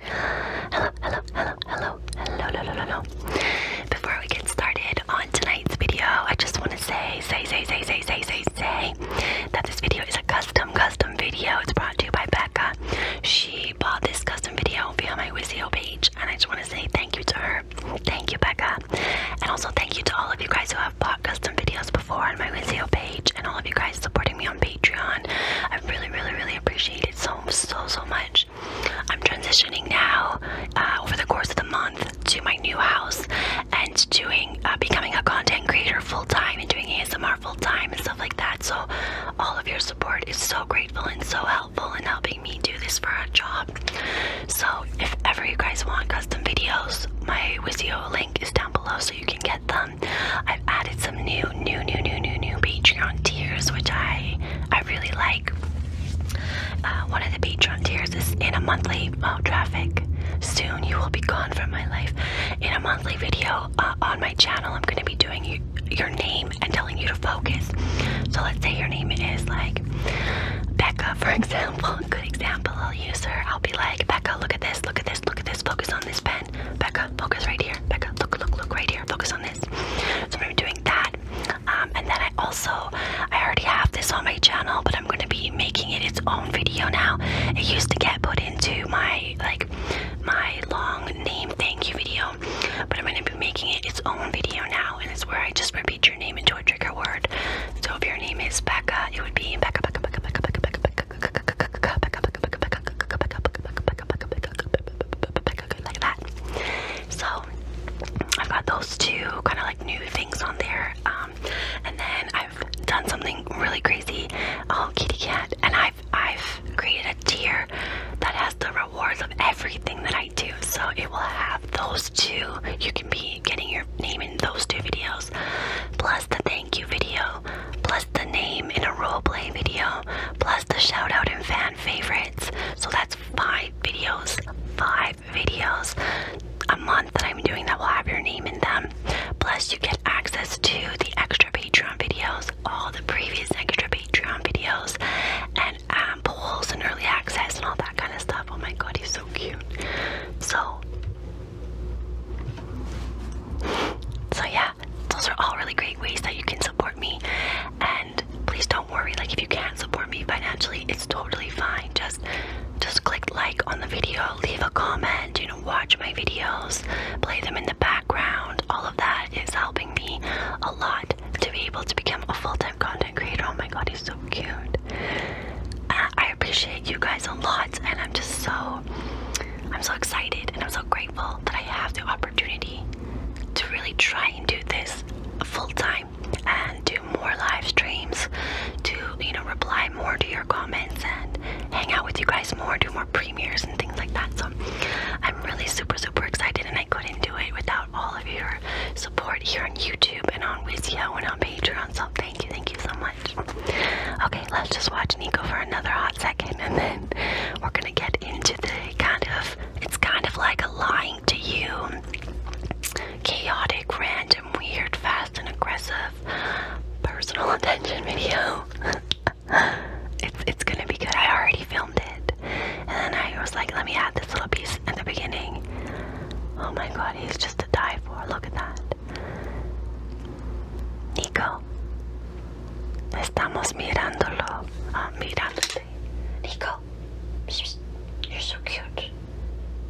Hello, hello, hello, hello, hello, hello, hello, hello. Before we get started on tonight's video, I just want to say, say, say, say, say, say, say, say that this video is a custom, custom video. It's brought to you by Becca. She bought this custom video on my Wizio page, and I just want to say thank you to her. Thank you, Becca. And also thank you to all of you guys who have bought custom videos before on my Wizio page and all of you guys supporting me on Patreon. I really, really, really appreciate it hate so, so, so much. I'm transitioning now uh, over the course of the month to my new house and doing uh, becoming a content creator full time and doing ASMR full time and stuff like that. So, all of your support is so grateful and so helpful in helping me do this for a job. So, if ever you guys want custom videos, my Wizio link is down below so you can get them. I've added some new, new, new, new, new, new Patreon tiers, which I, I really like. Uh, one of the Patreon tiers is in a monthly traffic. Soon you will be gone from my life. In a monthly video uh, on my channel, I'm going to be doing your name and telling you to focus. So let's say your name is like Becca, for example. Good example, I'll use her. I'll be like, Becca, look at this, look at this, look at this, focus on this pen then Becca, focus right here. Becca, look, look, look right here. Focus on this. So I'm doing that. Um, and then I also, I already have this on my channel, but I'm going to be making it its own video now. It used to get put into my, like, my long name thank you video, but I'm going to be making it its own video now. And it's where I just repeat your name into a trigger word. So if your name is Becca, it would be Becca, Becca, Becca, Becca, Becca, Becca, Becca like that. So I've got those two kind of like new things on there. Um, and then I've done something really crazy, oh kitty cat, and I've I've created a tier that has the rewards of everything that I do. So it will have those two. You can be getting your name in those two videos, plus the thank you video, plus the name in a roleplay video, plus the shout out and fan favorites. So that's five videos, five videos a month that I'm doing that will have your name in them. Plus, you get access to the extra Patreon videos, all the previous extra Patreon videos, and um, polls and early access and all that kind of stuff. Oh my god, he's so cute. So, so yeah, those are all really great ways that you can support me. And please don't worry, like if you can't support me financially, it's totally fine. Just just click like on the video, leave a comment, you know, watch my videos, play them in the background. All of that is helping me a lot to be able to become a full-time content creator. Oh my god, he's so cute. Uh, I appreciate you guys a lot and I'm just so I'm so excited and I'm so grateful that I have the opportunity to really try and do this full time and do more live streams, to you know, reply more to your comments and hang out with you guys more, do more premieres and things like that. So I'm really super, super excited and I couldn't do it without all of your support here on YouTube and on Vizio and on Patreon. So thank you, thank you so much. Okay, let's just watch Nico for another hot second and then we're gonna get into the kind of it's kind of like a lying to you chaotic, random, weird, fast and aggressive personal attention video. it's it's gonna be good. I already filmed it. And then I was like, let me add this little piece at the beginning. Oh my god, he's just a die for. Look at that. Nico, estamos mirándolo, ah, mirándote. Nico, you're so cute.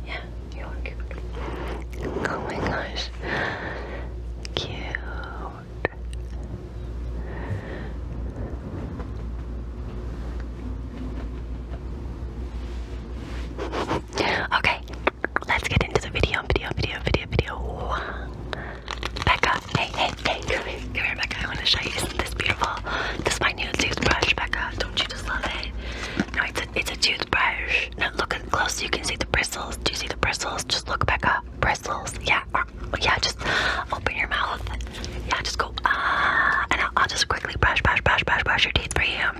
Yeah, you are cute. Oh my gosh, cute. Okay, let's get into the video, video, video, video, video. Becca, hey, hey, hey, come here, come here, Becca. I want to show you. Isn't this beautiful? This is my new toothbrush, Becca. Don't you just love it? No, it's a, it's a toothbrush. Now look at close. You can see the bristles. Do you see the bristles? Just look, Becca. Bristles. Yeah, uh, yeah. Just open your mouth. Yeah, just go ah, uh, and I'll, I'll just quickly brush, brush, brush, brush, brush your teeth for you.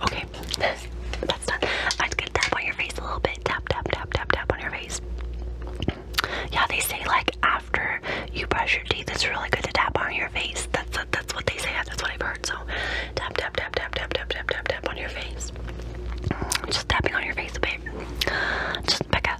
Okay, that's done. I'm just gonna tap on your face a little bit. Tap, tap, tap, tap, tap on your face. Yeah, they say like after you brush your teeth, it's really good to tap on your face. That's that's what they say. That's what I've heard. So, tap, tap, tap, tap, tap, tap, tap, tap, on your face. Just tapping on your face a Just pick up.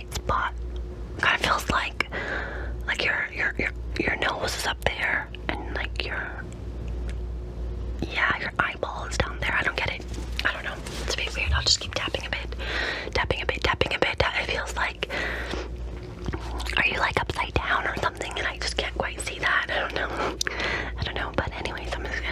right spot. Kind of feels like like your your your your nose is up there and like your yeah your eyeball is down there. I don't get it. I don't know. It's a bit weird. I'll just keep tapping a bit, tapping a bit, tapping a bit. It feels like are you like upside down or something? And I just can't quite see that. I don't know. I don't know. But anyways, I'm just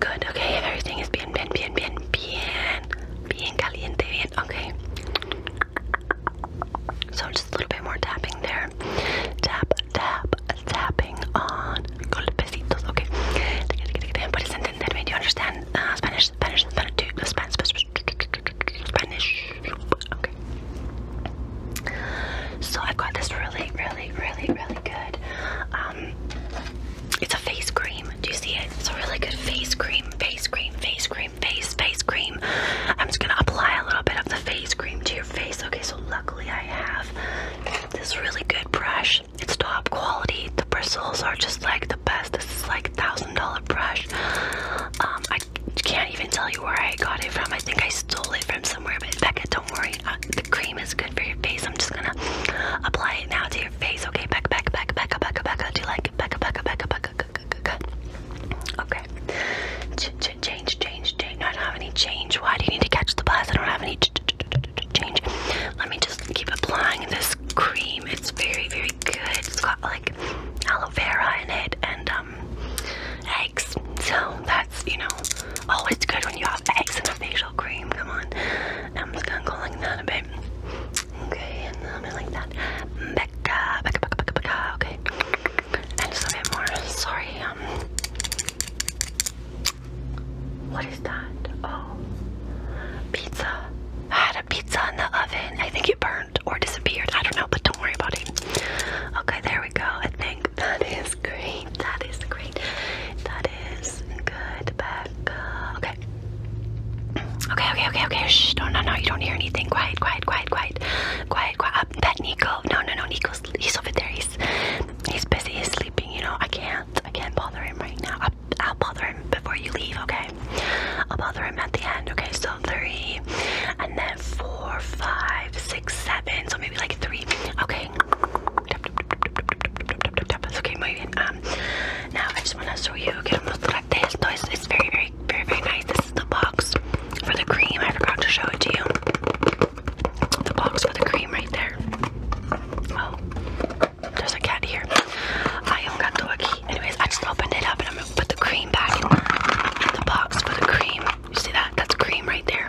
good, okay? Everything is bien, bien, bien, bien, bien. Bien caliente, bien, okay. So just a little bit more tapping there. Tap, tap, tapping on golpecitos, okay? Puedes entenderme, do you understand uh, Spanish, Spanish, Spanish, uh, Spanish, Spanish, Spanish, okay. So I've got this really, really, really, really good um, it's a face cream. Do you see it? It's a really good face cream, face cream, face cream, face, face cream. I'm just gonna apply a little bit of the face cream to your face. Okay, so luckily I have this really good brush. It's top quality. The bristles are just like the best. This is like a thousand dollar brush. Um, I can't even tell you where I got it from. I think I stole it from somewhere, but Becca, don't worry. Sorry, uh, the cream is good for your face. I'm just gonna apply it now to your face. Okay, back, back, back, back, back, back. Do you like it? Back, back, back, back. Okay. Ch ch change, change, change. No, I don't have any change. Why do you need to catch the bus? I don't have any ch ch ch change. Let me just keep applying this cream. It's very, very good. It's got like aloe vera in it and um eggs. So that's you know Oh, it's good when you have eggs and a facial cream. Come on. I'm just gonna go like that a bit. Okay, and I'm gonna like that. Becca, Becca, Becca, Becca, Becca. Okay. And just a bit more. Sorry. Um, what is that? Oh, pizza. I had a pizza in the oven. I think it burned or disappeared. I don't know, but don't worry about it. Okay, there we go. I think that is great. That is great. That is good, Becca. Okay. Okay, okay, okay, okay. Shh, no, no, no, you don't hear anything. Quiet, quiet, quiet, quiet. Quiet, quiet. Uh, pet Nico. No, no, no, Nico's, he's over there. He's, he's busy, he's sleeping, you know. I can't, I can't bother him right now. I'll, I'll bother him before you leave, okay? I'll bother him at the end, okay? So three, and then four, five, six, seven. So maybe like three. Okay, okay. That's okay, muy Um, now I just want to show you. Get Quiero mostrarte esto. It's, it's very, very, very, very nice. This is the box for the cream. I forgot to show it to you. The box for the cream right there. Oh, there's a cat here. I un gato aquí. Anyways, I just opened it up and I'm gonna put the cream back in the box for the cream. You see that? That's cream right there.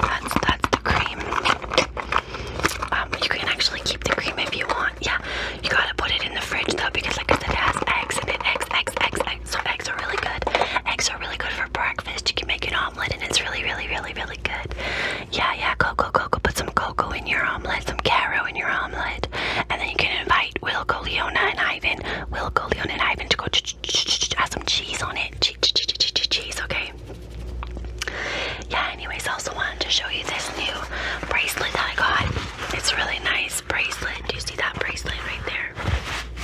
That's that's the cream. Um, you can actually keep the cream if you want. Yeah, you gotta put it in the fridge though because like I said, it has eggs in it. Eggs, eggs, eggs, eggs. So eggs are really good. Eggs are really good for breakfast. You can make an omelet and it's really, really, really, really good. Yeah, yeah. Cocoa, cocoa. Put some cocoa in your omelet. Some caro in your omelet, and then you can invite Wilco, Leona, and Ivan. Wilco, Leona, and Ivan to go. Ch -ch -ch -ch -ch -ch have some cheese on it and cheese, cheese, cheese, cheese, okay? Yeah, anyways, I also wanted to show you this new bracelet that I got. It's a really nice bracelet. Do you see that bracelet right there?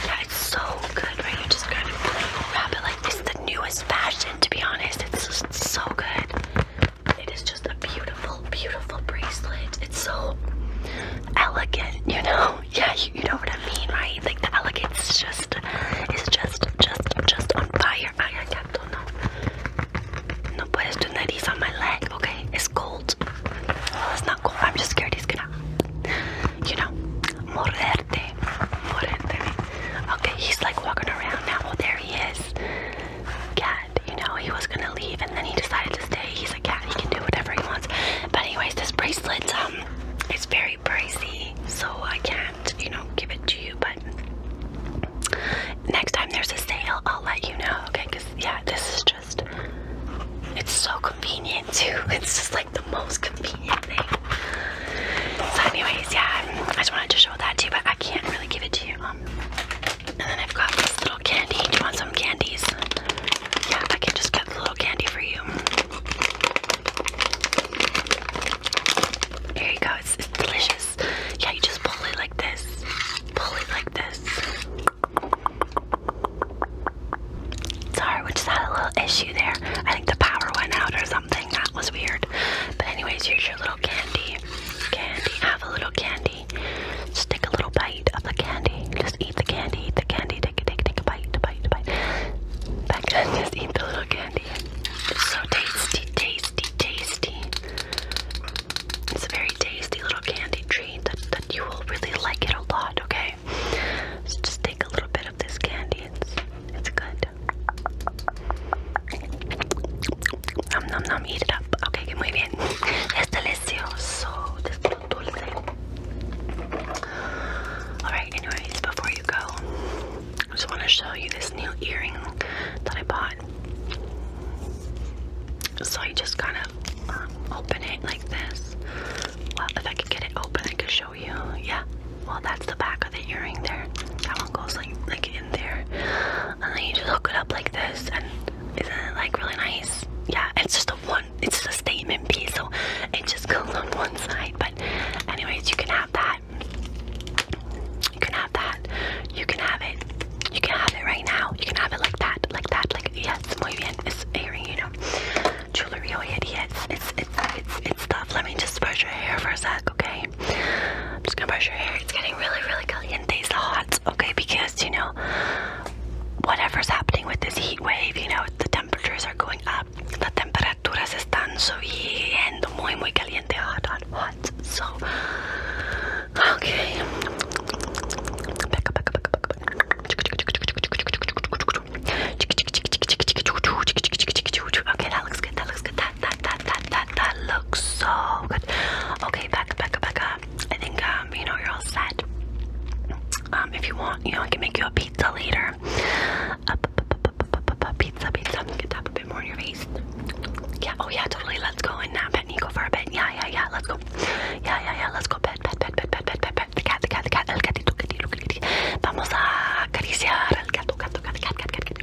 Yeah, it's so good, right? You just kind of wrap it like this. Is the newest fashion, to be honest. It's just so good. It is just a beautiful, beautiful bracelet. It's so elegant, you know? yeah, you, know what I mean, right? Like the elegance is just, is just, just, just on fire. I, don't know. No puedes tener these on my leg, okay? It's cold. Well, it's not cold. I'm just scared he's gonna, you know, morderte, morderte. Okay, he's like walking around now. Oh, there he is. Cat, you know, he was gonna leave and then he decided to stay. He's a cat. He can do whatever he wants. But anyways, this bracelet, um, it's very pricey, so I can't, you know, give it to you. But next time there's a sale, I'll let you know, okay? Because, yeah, this is just, it's so convenient too. It's just like the most convenient thing. So, anyways, yeah, I just wanted to show that to you, but I can't really give it to you. Um, and then I've got this little candy. Do you want some candies? Yeah, I can just get the little candy for you. There you go, it's, delicious. Yeah, you just pull it like this. Pull it like this. Sorry, we just had a little issue there. I think the power went out or something. That was weird. But anyways, here's your little candy. Candy, have a little candy. Just take a little bite of the candy. Just eat the candy, eat the candy, take a take, take a bite, a bite, a bite. Back then, just eat the little candy. It's so tasty, tasty, tasty. It's a very tasty little candy treat that, that you will really like it a lot, okay? So just take a little bit of this candy, it's it's good. Nom nom nom, eat it up. Okay, que muy bien. Es delicioso. This Alright, anyways, before you go, I just want to show you this new earring that I bought. So you just kind of uh, open it like this. Well, if I could get it open, I could show you. Yeah. Well, that's the back of the earring there. That one goes like like in there, and then you just hook it up like this, and isn't it like really nice? Yeah, it's just a one one it's a statement piece so it just goes on one side but anyways you can have that you can have that you can have it you can have it right now you can have it like that like that like yes muy bien it's airy you know jewelry oh yeah it's it's it's it's it's tough let me just brush your hair for a sec okay I'm just gonna brush your hair it's getting really really caliente it's hot okay because you know whatever's happening with this heat wave, you know, the temperatures are going up. The temperaturas están subiendo muy, muy caliente, hot, hot, hot. So, okay. Okay, that looks good. That looks good. That that that that that that looks so good. Okay, back, back, back I think um, you know you're all set. Um, if you want, you know I can make you a pizza later. Uh, pizza, pizza. Get tap a bit more in your face. Yeah. Oh yeah, totally. Let's go and nap at Nico for a bit. Yeah, yeah, yeah. Let's go. Yeah, yeah, yeah. Let's go. Pet, pet, pet, pet, pet, pet, pet, pet. The cat, the cat, the cat. El gatito, gatito, gatito. Vamos a acariciar al gato, gato, gato, cat, cat, cat, cat.